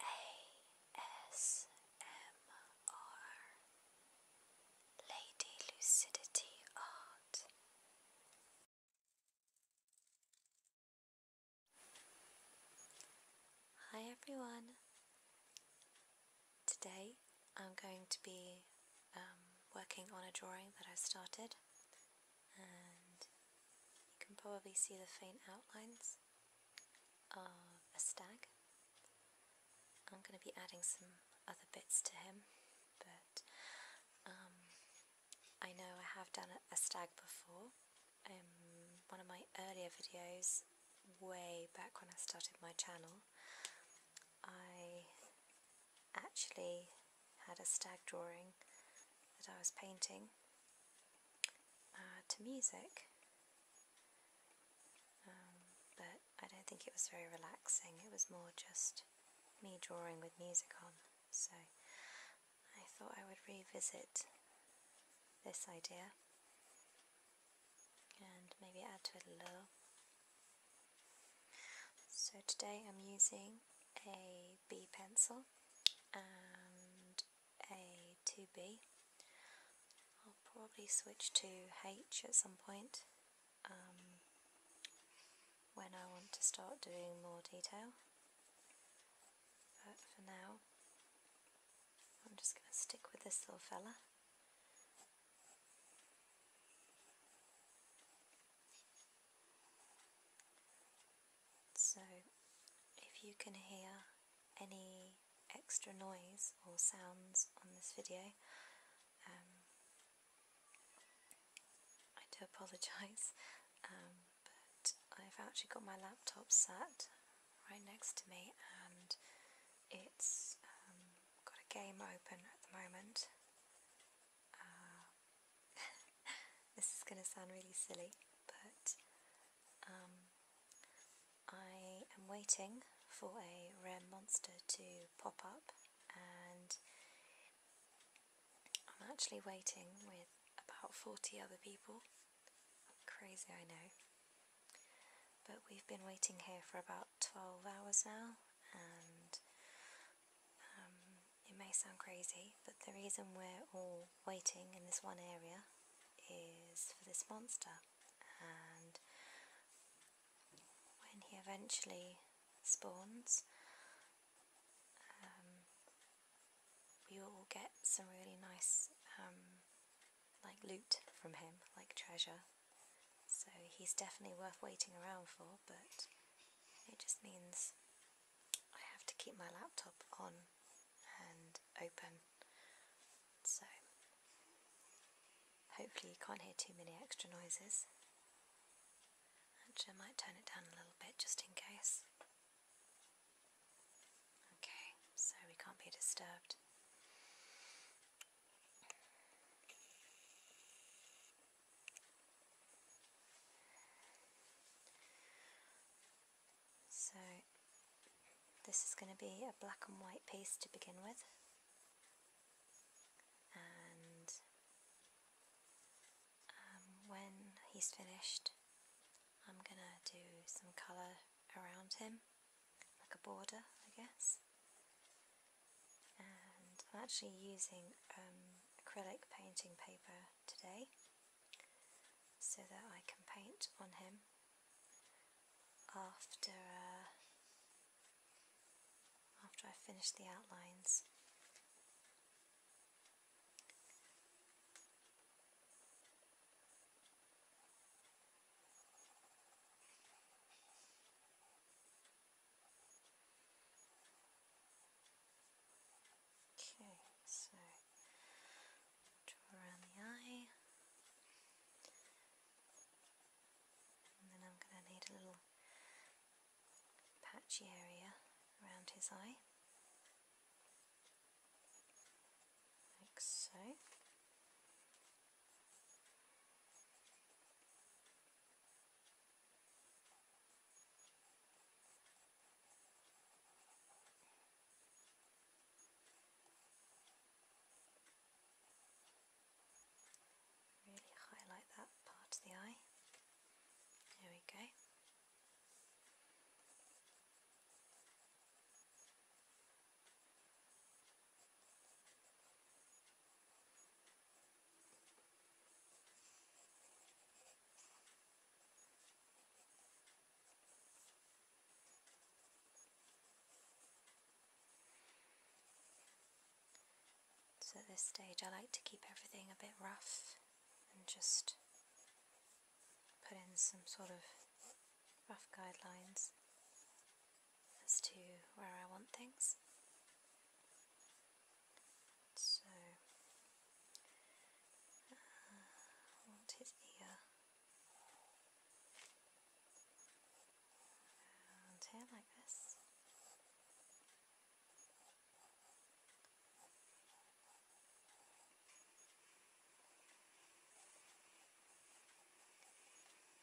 ASMR Lady Lucidity Art Hi everyone! Today I'm going to be um, working on a drawing that I started and you can probably see the faint outlines of uh, a stag. I'm going to be adding some other bits to him, but um, I know I have done a stag before. In um, one of my earlier videos, way back when I started my channel, I actually had a stag drawing that I was painting uh, to music. Um, but I don't think it was very relaxing, it was more just me drawing with music on. So I thought I would revisit this idea and maybe add to it a little. So today I'm using a B pencil and a 2B. I'll probably switch to H at some point um, when I want to start doing more detail. But for now, I'm just going to stick with this little fella. So, if you can hear any extra noise or sounds on this video, um, I do apologise, um, but I've actually got my laptop sat right next to me and it's um, got a game open at the moment. Uh, this is going to sound really silly but um, I am waiting for a rare monster to pop up, and I'm actually waiting with about 40 other people. Crazy, I know. But we've been waiting here for about 12 hours now, and um, it may sound crazy, but the reason we're all waiting in this one area is for this monster and when he eventually spawns um, we will get some really nice um, like loot from him, like treasure so he's definitely worth waiting around for but it just means I have to keep my laptop on and open. So hopefully you can't hear too many extra noises. I might turn it down a little bit just in case. Okay, so we can't be disturbed. So this is going to be a black and white piece to begin with and um, when he's finished I'm going to do some colour around him like a border I guess and I'm actually using um, acrylic painting paper today so that I can paint on him after uh, after I finish the outlines. Okay, so draw around the eye. And then I'm going to need a little patchy area around his eye, like so. Really highlight that part of the eye. There we go. So at this stage I like to keep everything a bit rough and just put in some sort of rough guidelines as to where I want things. So uh, I want his ear here like this.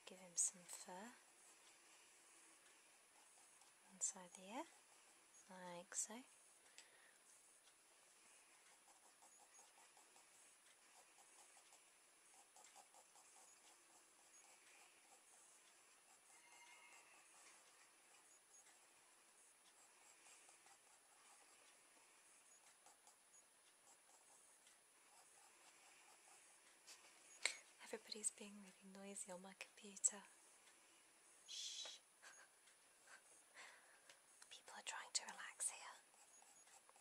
Give him some fur inside the ear, like so. Everybody's being really noisy on my computer. Shh. People are trying to relax here.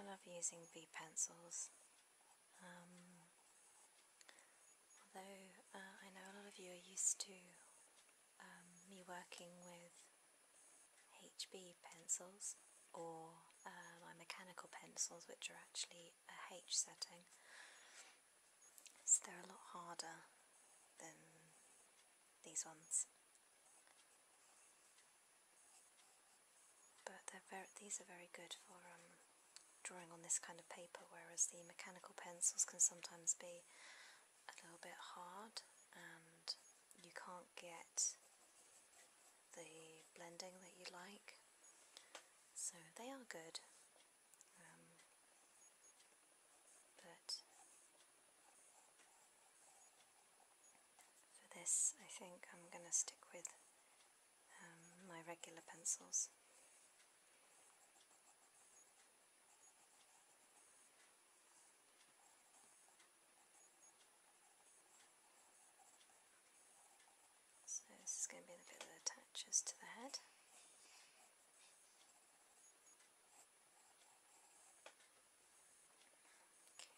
I love using V pencils. Um, although uh, I know a lot of you are used to um, me working with HB pencils or uh, my mechanical pencils, which are actually a H setting, so they're a lot harder than these ones. But these are very good for um, drawing on this kind of paper, whereas the mechanical pencils can sometimes be a little bit hard and you can't get the blending that you like. So they are good. Um, but for this I think I'm going to stick with um, my regular pencils. So this is going to be the bit that attaches to the head.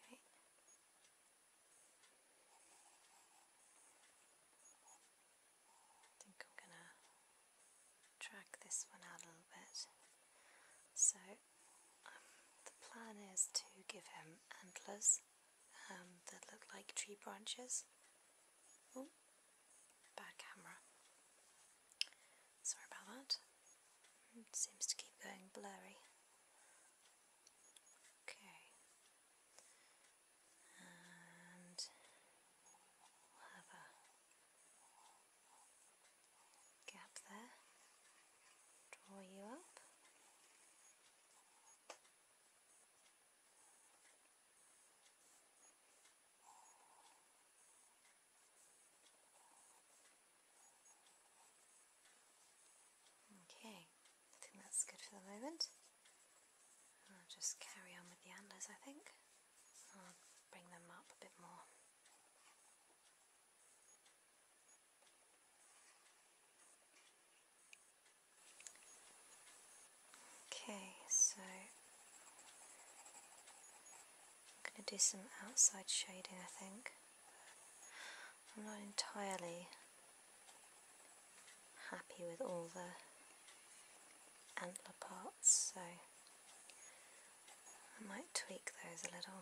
Okay. I think I'm gonna drag this one out a little bit. So um, the plan is to give him antlers um, that look like tree branches. Oh, bad camera. Sorry about that. It seems to keep going blurry. Okay. And have a gap there. Draw you up. Okay, I think that's good for the moment. I'll just carry on with the antlers, I think. I'll bring them up a bit more. Okay, so I'm going to do some outside shading, I think. I'm not entirely happy with all the antler parts, so I might tweak those a little.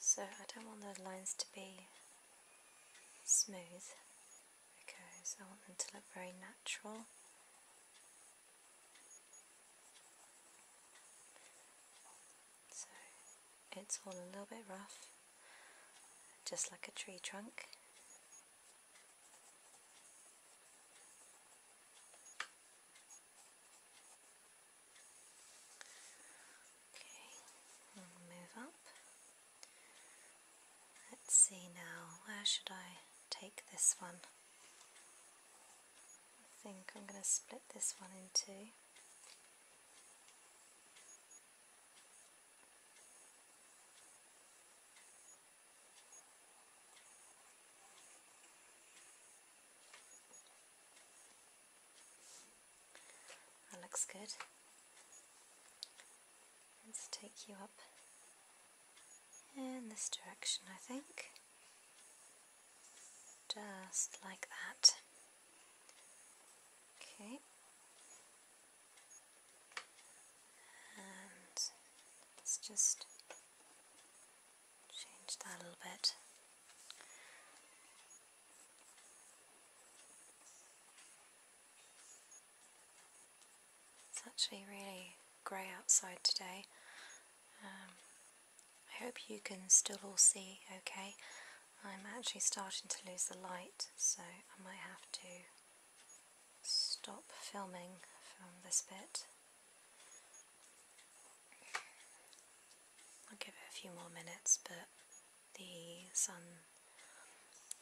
So I don't want the lines to be smooth because I want them to look very natural. So it's all a little bit rough, just like a tree trunk. Okay, move up. Let's see now, where should I take this one? I think I'm going to split this one in two. That looks good. Let's take you up in this direction, I think. Just like that. Okay. And let's just change that a little bit. It's actually really grey outside today. Um, I hope you can still all see okay. I'm actually starting to lose the light so I might have to stop filming from this bit I'll give it a few more minutes, but the sun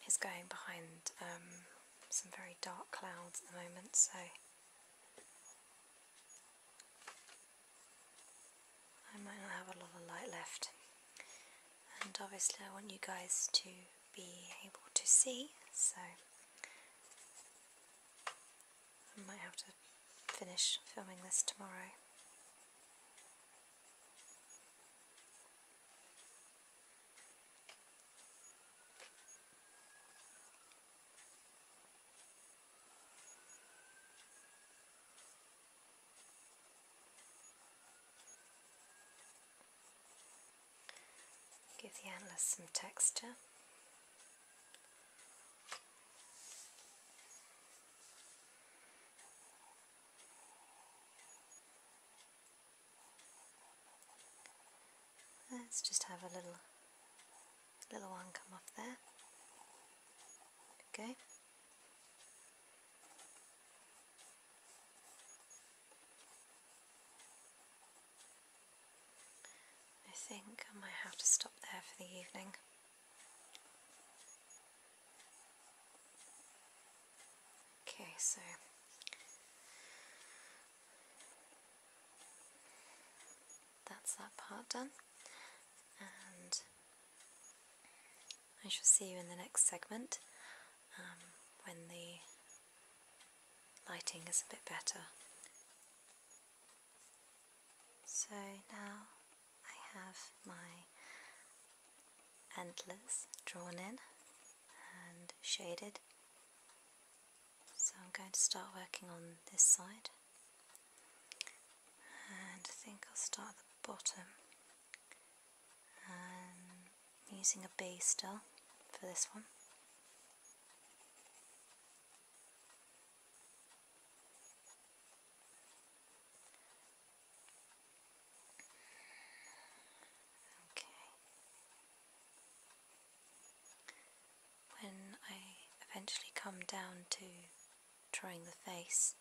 is going behind um, some very dark clouds at the moment, so I might not have a lot of light left. And obviously, I want you guys to be able to see, so I might have to finish filming this tomorrow. Give the antlers some texture. Let's just have a little little one come off there. Okay. I think I might have to stop there for the evening. Okay, so that's that part done, and I shall see you in the next segment um, when the lighting is a bit better. So now I have my endless drawn in and shaded. So I'm going to start working on this side and I think I'll start at the bottom and using a B still for this one. Okay. When I eventually come down to drawing the face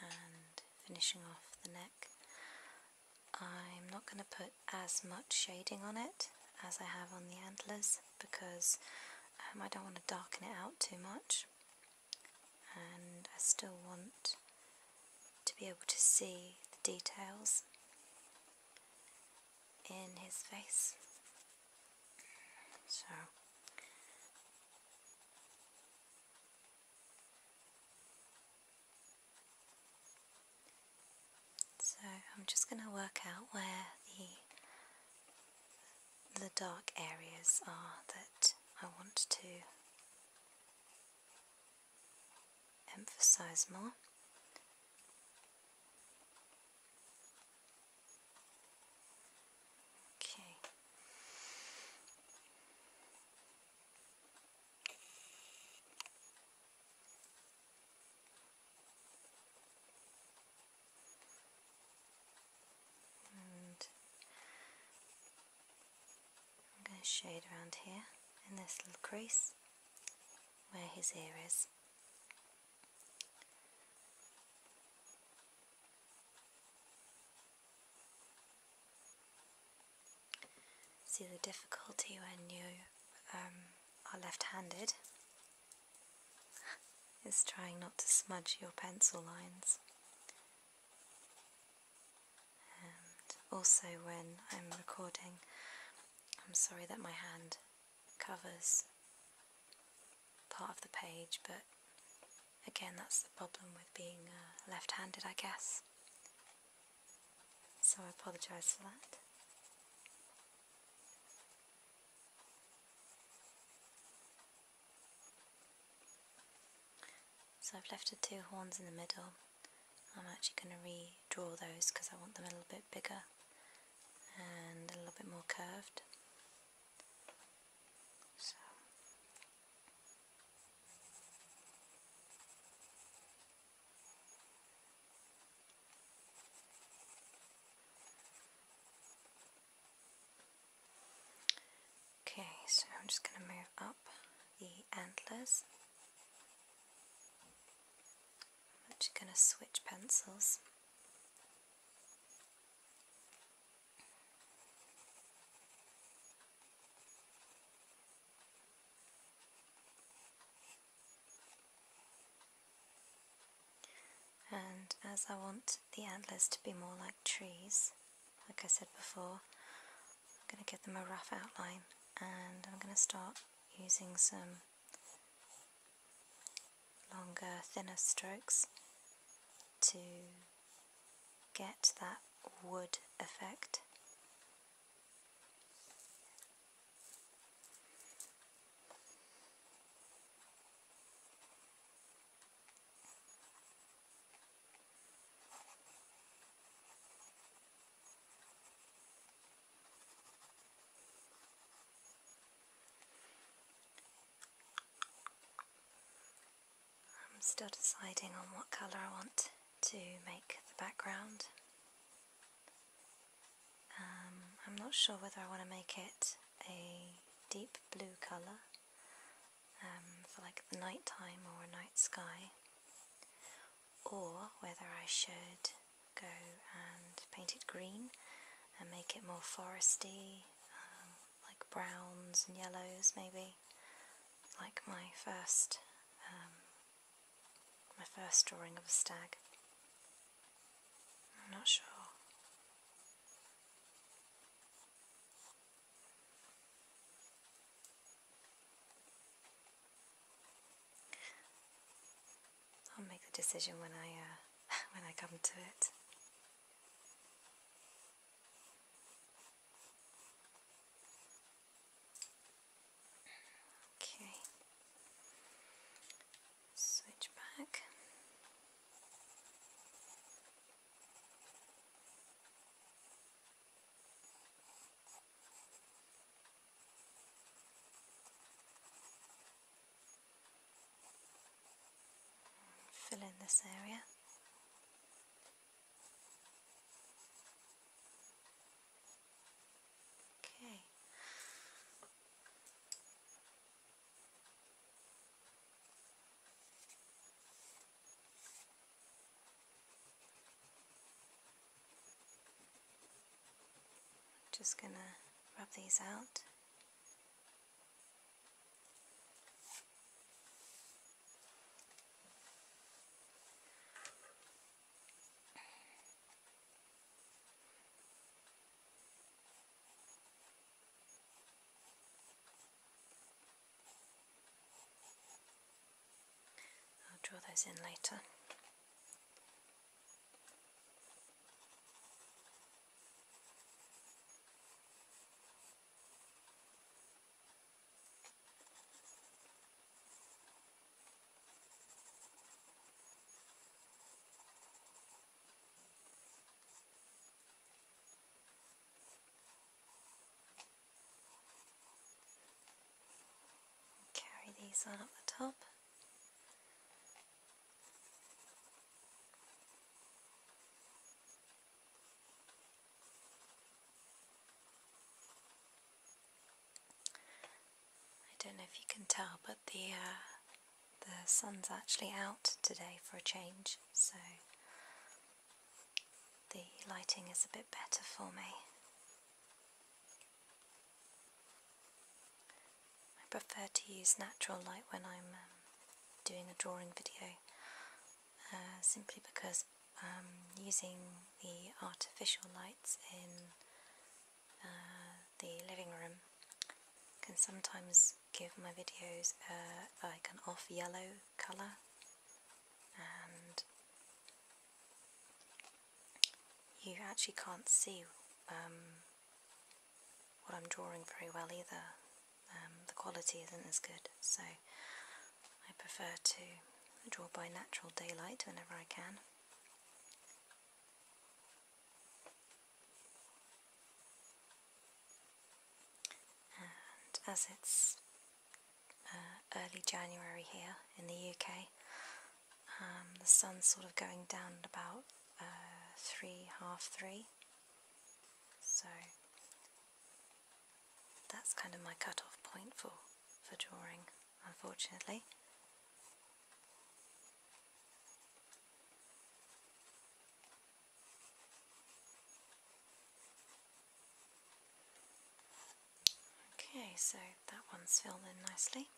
and finishing off the neck, I'm not going to put as much shading on it as I have on the antlers because um, I don't want to darken it out too much and I still want to be able to see the details in his face So I'm just going to work out where the the dark areas are that I want to emphasize more. Okay. I'm going to shade around here in this little crease where his ear is. See the difficulty when you um, are left handed is trying not to smudge your pencil lines. And also, when I'm recording, I'm sorry that my hand covers part of the page, but again, that's the problem with being uh, left handed, I guess. So I apologise for that. So I've left the two horns in the middle. I'm actually going to redraw those because I want them a little bit bigger and a little bit more curved. So. Okay, so I'm just going to move up the antlers. I'm actually going to switch pencils. And as I want the antlers to be more like trees, like I said before, I'm going to give them a rough outline and I'm going to start using some longer, thinner strokes to get that wood effect. I'm still deciding on what colour I want to make the background. Um, I'm not sure whether I want to make it a deep blue colour um, for like the night time or a night sky, or whether I should go and paint it green and make it more foresty, um, like browns and yellows maybe, like my first my first drawing of a stag. I'm not sure. I'll make the decision when I uh, when I come to it. Okay switch back. Fill in this area. Okay. Just going to rub these out. I'll draw those in later. Carry these on up the top. I don't know if you can tell, but the uh, the sun's actually out today for a change, so the lighting is a bit better for me. I prefer to use natural light when I'm um, doing a drawing video uh, simply because um, using the artificial lights in uh, the living room can sometimes give my videos like an off yellow colour and you actually can't see um, what I'm drawing very well either. Um, the quality isn't as good so I prefer to draw by natural daylight whenever I can. And as it's uh, early January here in the UK, um, the sun's sort of going down at about uh, three, half three. So that's kind of my cut-off point for, for drawing, unfortunately. Okay, so that one's filled in nicely.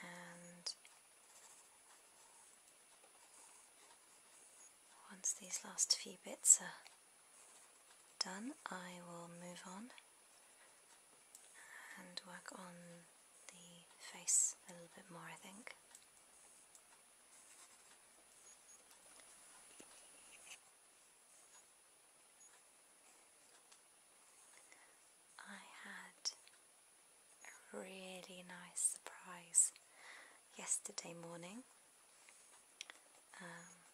And once these last few bits are done, I will move on and work on the face a little bit more, I think. I had a really nice surprise yesterday morning. Um,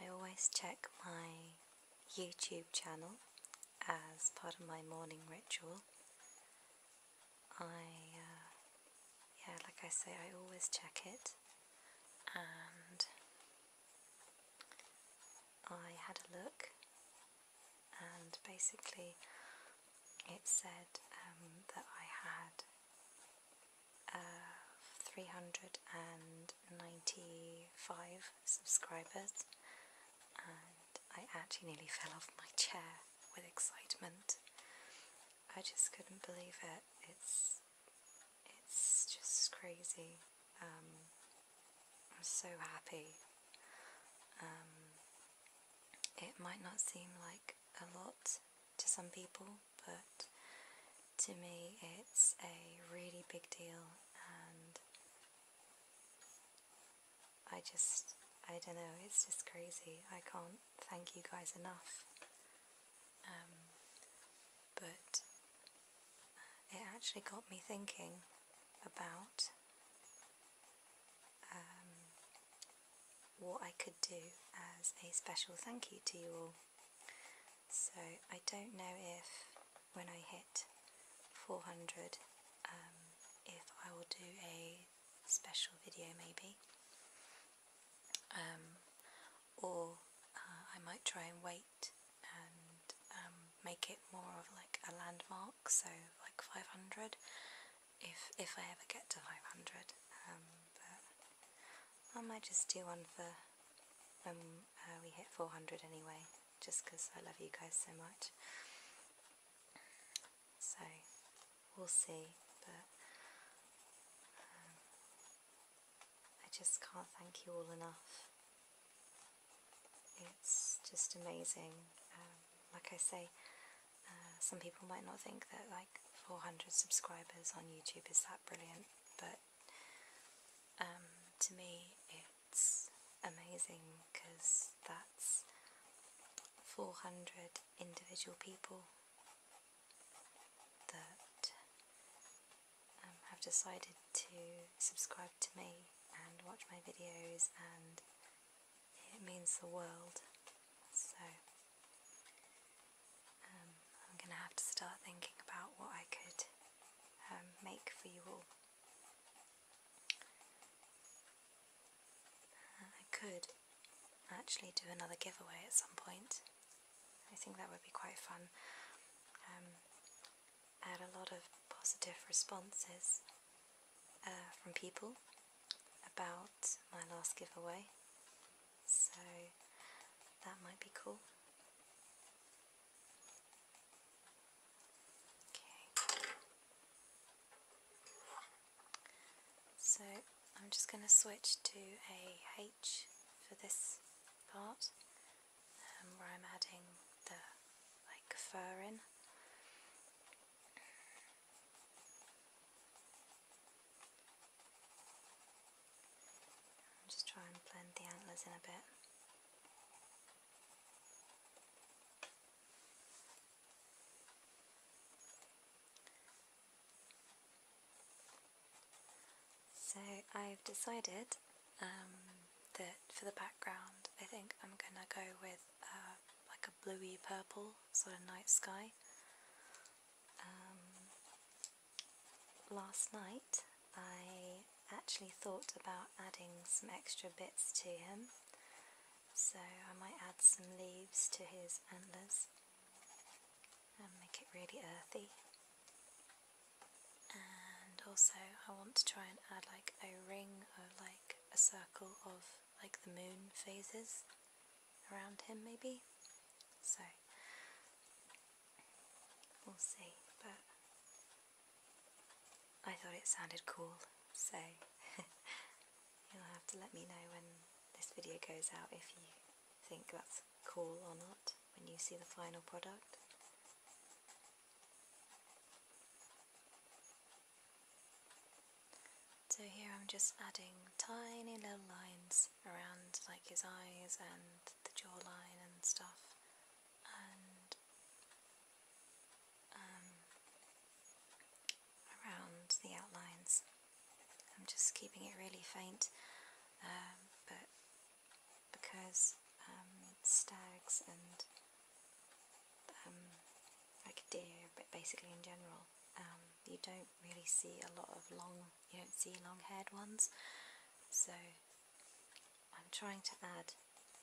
I always check my YouTube channel as part of my morning ritual, I, uh, yeah, like I say, I always check it, and I had a look, and basically it said um, that I had uh, 395 subscribers, and I actually nearly fell off my chair with excitement. I just couldn't believe it. It's it's just crazy. Um, I'm so happy. Um, it might not seem like a lot to some people, but to me it's a really big deal I just, I don't know, it's just crazy. I can't thank you guys enough. Um, but it actually got me thinking about um, what I could do as a special thank you to you all. So I don't know if when I hit 400 um, if I will do a special video maybe um, or uh, I might try and wait and um, make it more of like a landmark so like 500 if, if I ever get to 500 um, I might just do one for when uh, we hit 400 anyway just because I love you guys so much so we'll see. But um, I just can't thank you all enough. It's just amazing. Um, like I say, uh, some people might not think that like 400 subscribers on YouTube is that brilliant, but um, to me it's amazing because that's 400 individual people that um, have decided to subscribe to me and watch my videos, and it means the world. So um, I'm going to have to start thinking about what I could um, make for you all. I could actually do another giveaway at some point. I think that would be quite fun. I um, had a lot of positive responses uh, from people about my last giveaway, so that might be cool. Okay. So I'm just going to switch to a H for this part um, where I'm adding the like fur in. just try and blend the antlers in a bit. So I've decided um, that for the background I think I'm gonna go with uh, like a bluey purple sort of night sky. Um, last night I actually thought about adding some extra bits to him so I might add some leaves to his antlers and make it really earthy and also I want to try and add like a ring or like a circle of like the moon phases around him maybe so we'll see but I thought it sounded cool so You'll have to let me know when this video goes out if you think that's cool or not when you see the final product. So here I'm just adding tiny little lines around like his eyes and the jawline and stuff um, around the outlines. I'm just keeping it really faint, um, but because um, stags and um, like deer, but basically in general, um, you don't really see a lot of long. You don't see long-haired ones, so I'm trying to add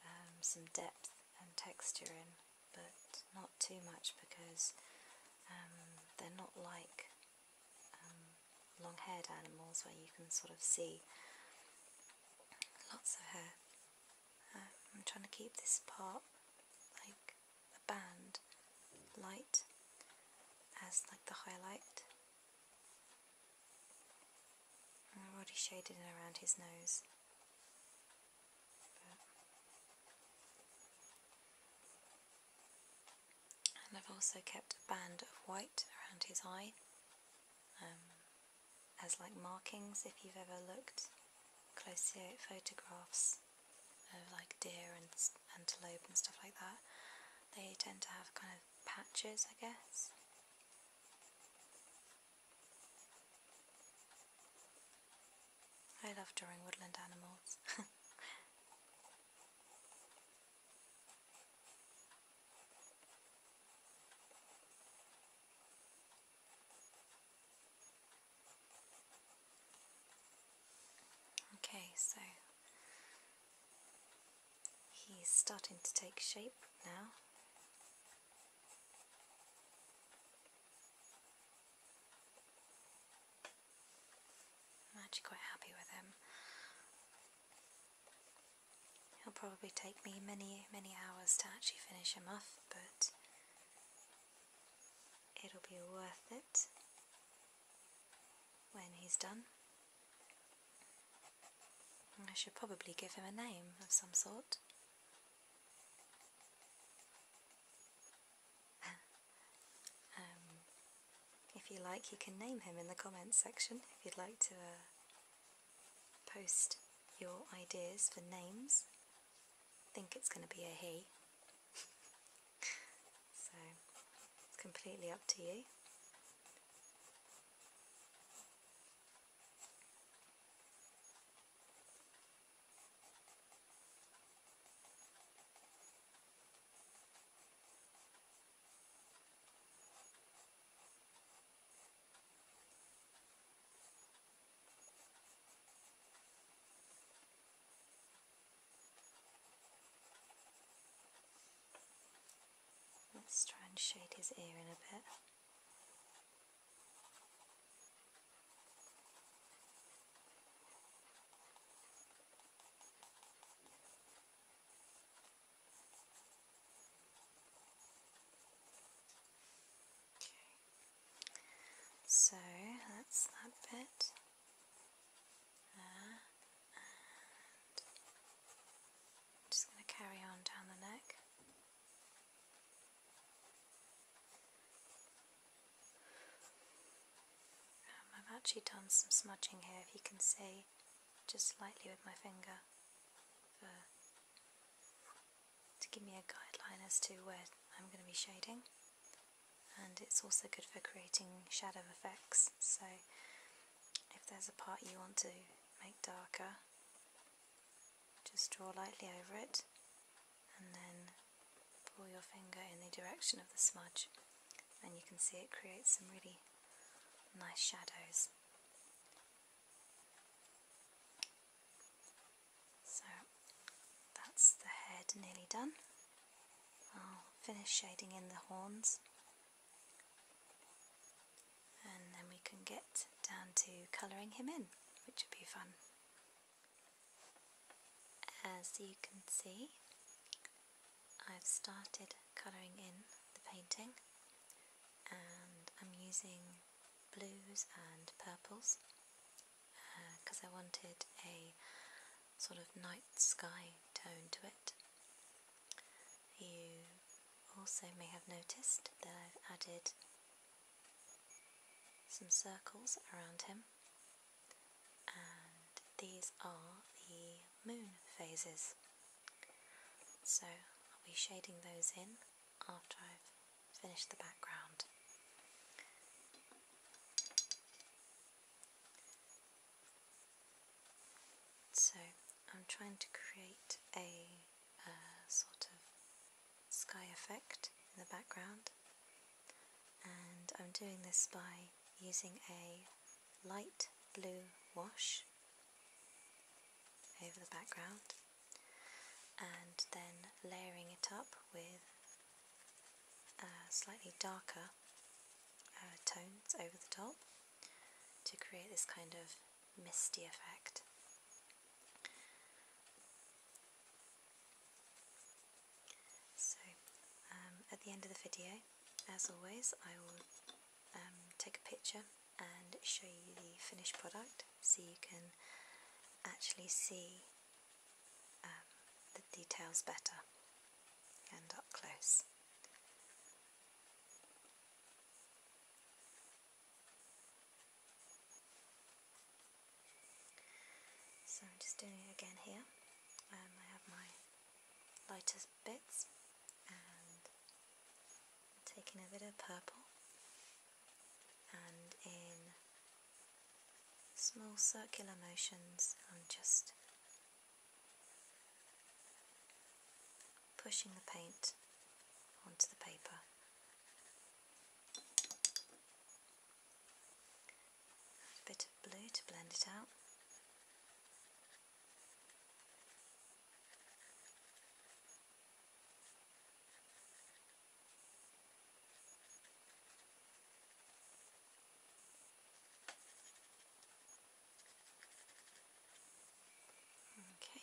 um, some depth and texture in but not too much because um, they're not like um, long haired animals where you can sort of see lots of hair. Um, I'm trying to keep this part like a band light as like the highlight. I've already shaded it around his nose. And I've also kept a band of white around his eye um, as like markings if you've ever looked closely at photographs of like deer and antelope and stuff like that. They tend to have kind of patches I guess. I love drawing woodland animals. okay, so he's starting to take shape now. I'm actually quite happy with him. he will probably take me many, many hours to actually finish him off, but it'll be worth it when he's done. I should probably give him a name of some sort. Um, if you like, you can name him in the comments section if you'd like to uh, post your ideas for names. I think it's going to be a he. so it's completely up to you. Let's try and shade his ear in a bit. So that's that bit and just going to carry on down the neck. Um, I've actually done some smudging here, if you can see, just slightly with my finger to give me a guideline as to where I'm going to be shading. And it's also good for creating shadow effects, so if there's a part you want to make darker, just draw lightly over it and then pull your finger in the direction of the smudge and you can see it creates some really nice shadows. So that's the head nearly done. I'll finish shading in the horns and then we can get down to colouring him in, which would be fun. As you can see, I've started colouring in the painting and I'm using blues and purples because uh, I wanted a sort of night sky tone to it. You also may have noticed that I've added some circles around him and these are the moon phases. So I'll be shading those in after I've finished the background. So I'm trying to create a uh, sort of sky effect in the background and I'm doing this by using a light blue wash over the background and then layering it up with uh, slightly darker uh, tones over the top to create this kind of misty effect. So, um, at the end of the video, as always, I will um, take a picture and show you the finished product so you can actually see um, the details better and up close. So I'm just doing it again here. Um, I have my lighter bits and taking a bit of purple and in small circular motions I'm just pushing the paint onto the paper. A bit of blue to blend it out. Okay.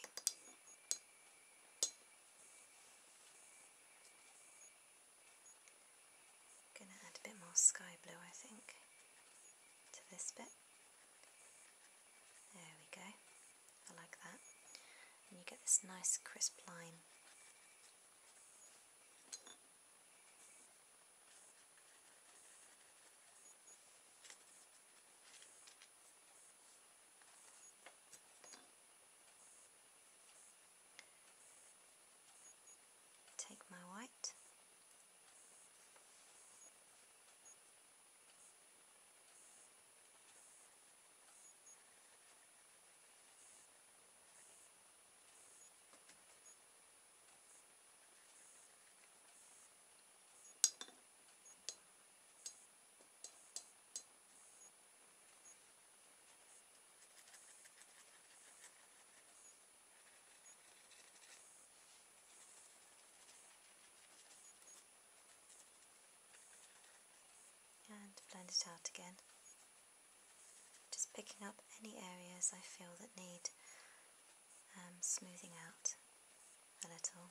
Gonna add a bit more sky blue, I think, to this bit. There we go. I like that. And you get this nice crisp line. Take my white and blend it out again. Just picking up any areas I feel that need um, smoothing out a little.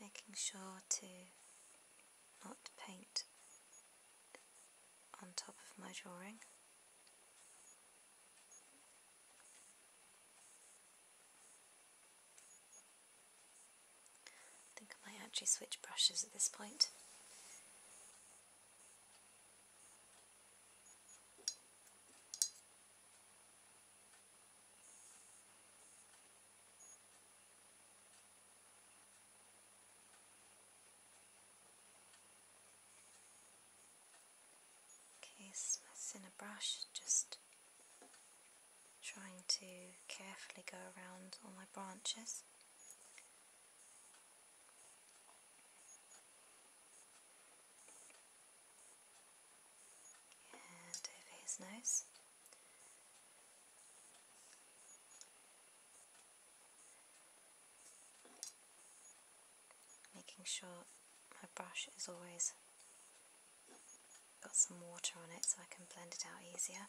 making sure to not paint on top of my drawing. I think I might actually switch brushes at this point. Okay, smiths in a brush, just trying to carefully go around all my branches. And over his nose. Making sure my brush is always got some water on it so I can blend it out easier.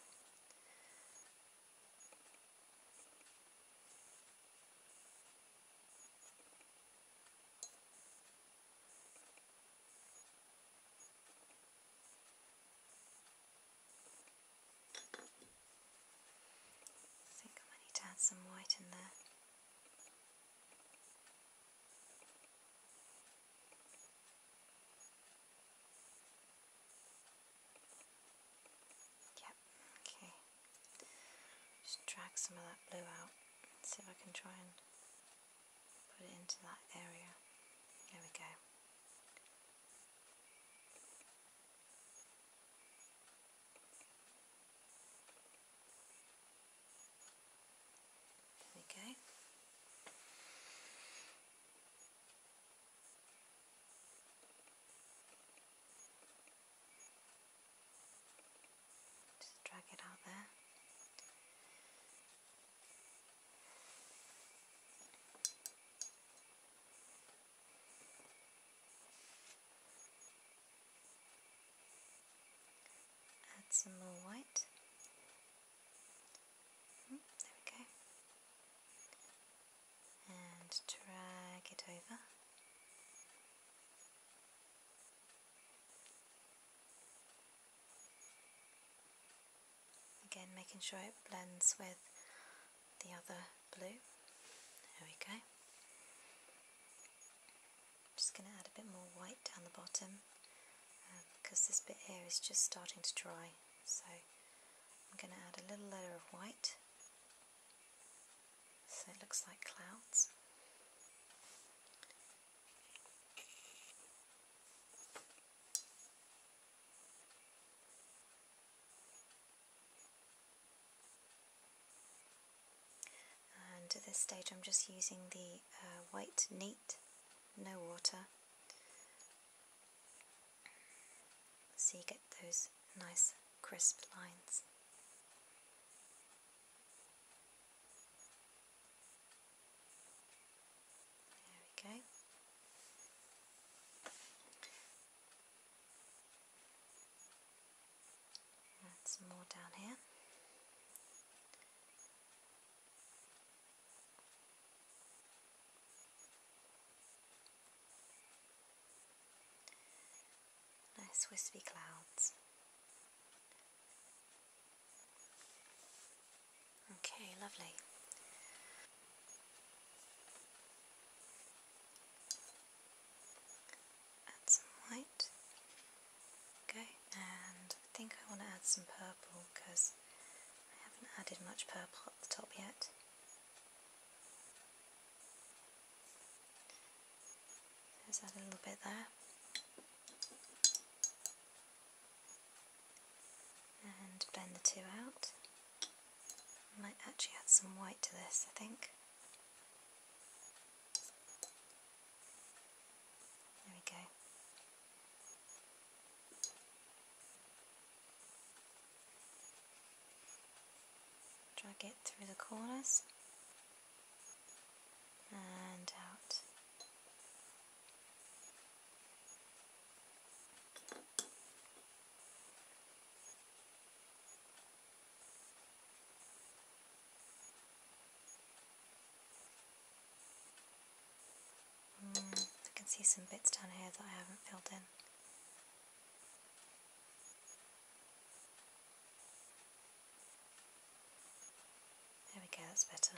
I think I might need to add some white in there. Yep, okay. Just drag some of that blue out. See if I can try and put it into that area. There we go. There we go. Just drag it out there. Add some more white. Hmm, there we go. And drag it over again making sure it blends with the other blue there we go just going to add a bit more white down the bottom uh, because this bit here is just starting to dry so I'm going to add a little layer of white so it looks like clouds and at this stage I'm just using the uh, white neat, no water, so you get those nice crisp lines. There we go. And some more down here. Nice wispy clouds. Okay, lovely. Add some white. Okay, and I think I want to add some purple because I haven't added much purple at the top yet. Let's add a little bit there and blend the two out. Might actually add some white to this, I think. There we go. Drag it through the corners and out Mm, I can see some bits down here that I haven't filled in. There we go, that's better.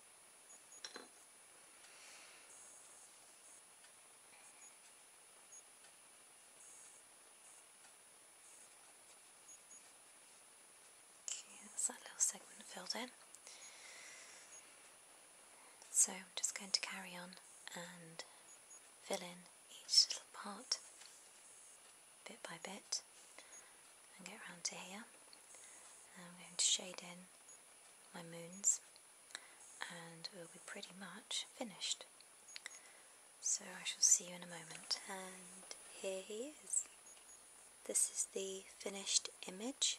Okay, that little segment filled in. So I'm just going to carry on and fill in each little part bit by bit and get round to here. And I'm going to shade in my moons and we'll be pretty much finished. So I shall see you in a moment. And here he is. This is the finished image,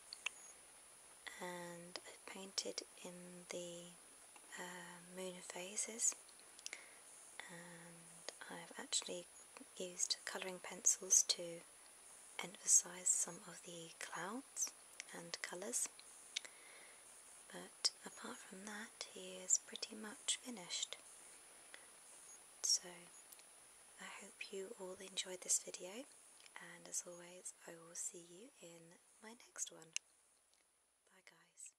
and I painted in the uh, moon phases, and I've actually used colouring pencils to emphasize some of the clouds and colors, but apart from that, he is pretty much finished. So, I hope you all enjoyed this video, and as always, I will see you in my next one. Bye, guys.